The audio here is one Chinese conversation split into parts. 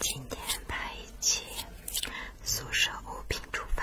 今天拍一期宿舍物品出发。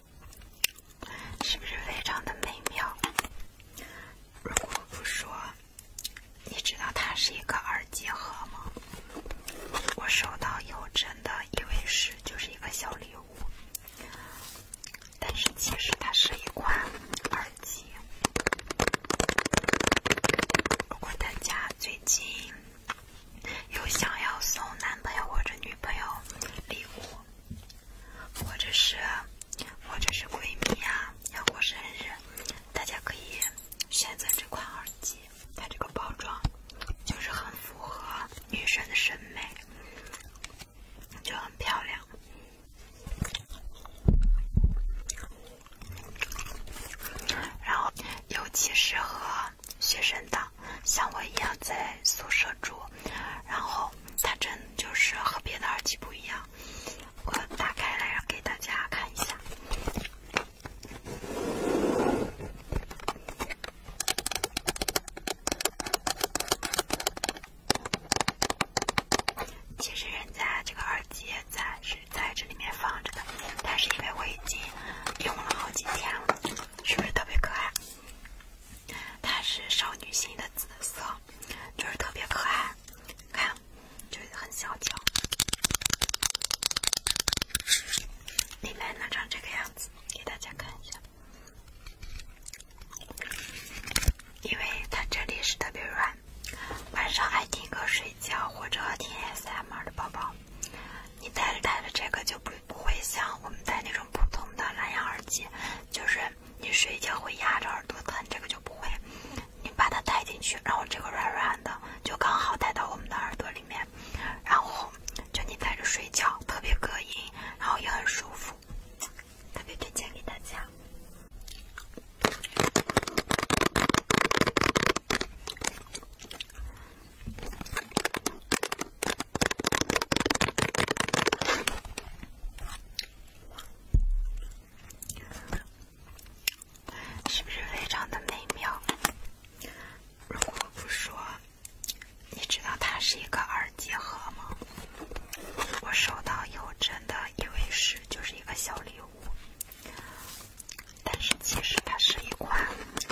是不是非常的美妙？如果不说，你知道它是一个耳机盒吗？我收到以后真的以为是就是一个小礼物，但是其实它是一款耳机。如果大家最近有想要送男朋友或者女朋友礼物，或者是，或者是闺蜜啊，要过生日，大家可以选择这款耳机。它这个包装就是很符合女生的审美，就很漂亮。然后，尤其适合学生党，像我一样在宿舍住，然后。它真就是和别的耳机不一样，我打开来给大家看一下。其实人家这个耳机在是在这里面放着的，但是因为我已经用了好几天了，是不是特别可爱？它是少女心的紫色。就是特别可爱，看，就是很小巧，里面呢，长这个样子，给大家看一下。因为它这里是特别软，晚上爱听歌睡觉或者听 S M R 的宝宝，你戴着戴着这个就不不会像我们戴那种普通的蓝牙耳机，就是。你睡觉会压着耳朵疼，这个就不会。你把它戴进去，然后这个软软的就刚好戴到我们的耳朵里面，然后就你戴着睡觉，特别隔音，然后也很舒服，特别推荐给大家。是不是非常的美妙？如果不说，你知道它是一个耳机盒吗？我收到以后真的以为是就是一个小礼物，但是其实它是一款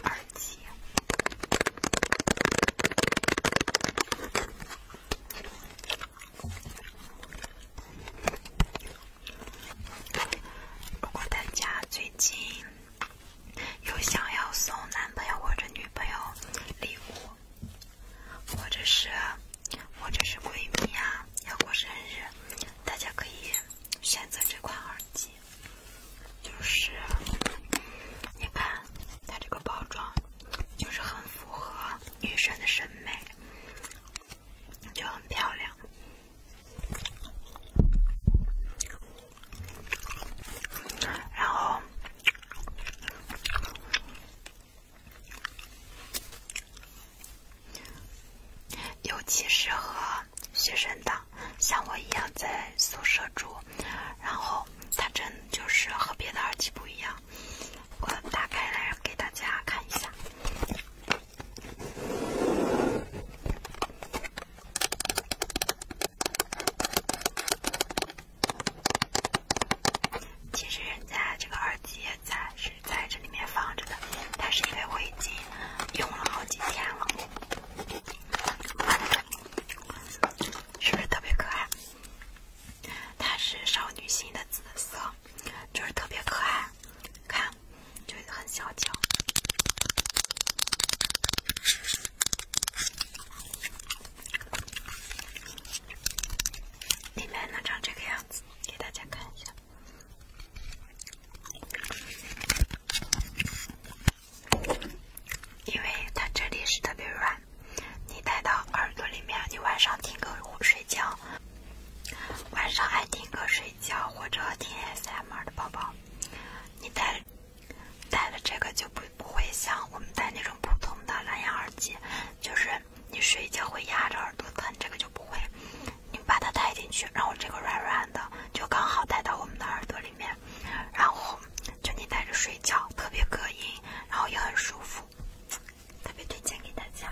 耳机。如果大家最近有想要送男朋友或者女朋友礼物，或者是或者是闺蜜啊要过生日，大家可以选择这款耳机。就是你看它这个包装。就是很符合女生的审美，就很漂亮。然后，尤其是和学生党，像我一样在宿舍住。然后，它真就是和别的耳机不一样。我打开来给大家看一下。其实人家这个耳机也在是在这里面放着的，但是因为我已经用了好几天了，是不是特别可爱？它是少女心的紫色，就是特别可爱，看，就很小巧。里面呢，长这个样子，给大家看一下，因为它这里是特别软。你戴到耳朵里面，你晚上听歌睡觉，晚上爱听歌睡觉或者听 S M 的宝宝，你戴戴了这个就不不会像我们戴那种普通的蓝牙耳机，就是你睡觉会压着耳朵疼，这个就不会。你把它戴进去，然后这个软软的就刚好戴到我们的耳朵里面，然后。就天带着睡觉，特别隔音，然后也很舒服，特别推荐给大家。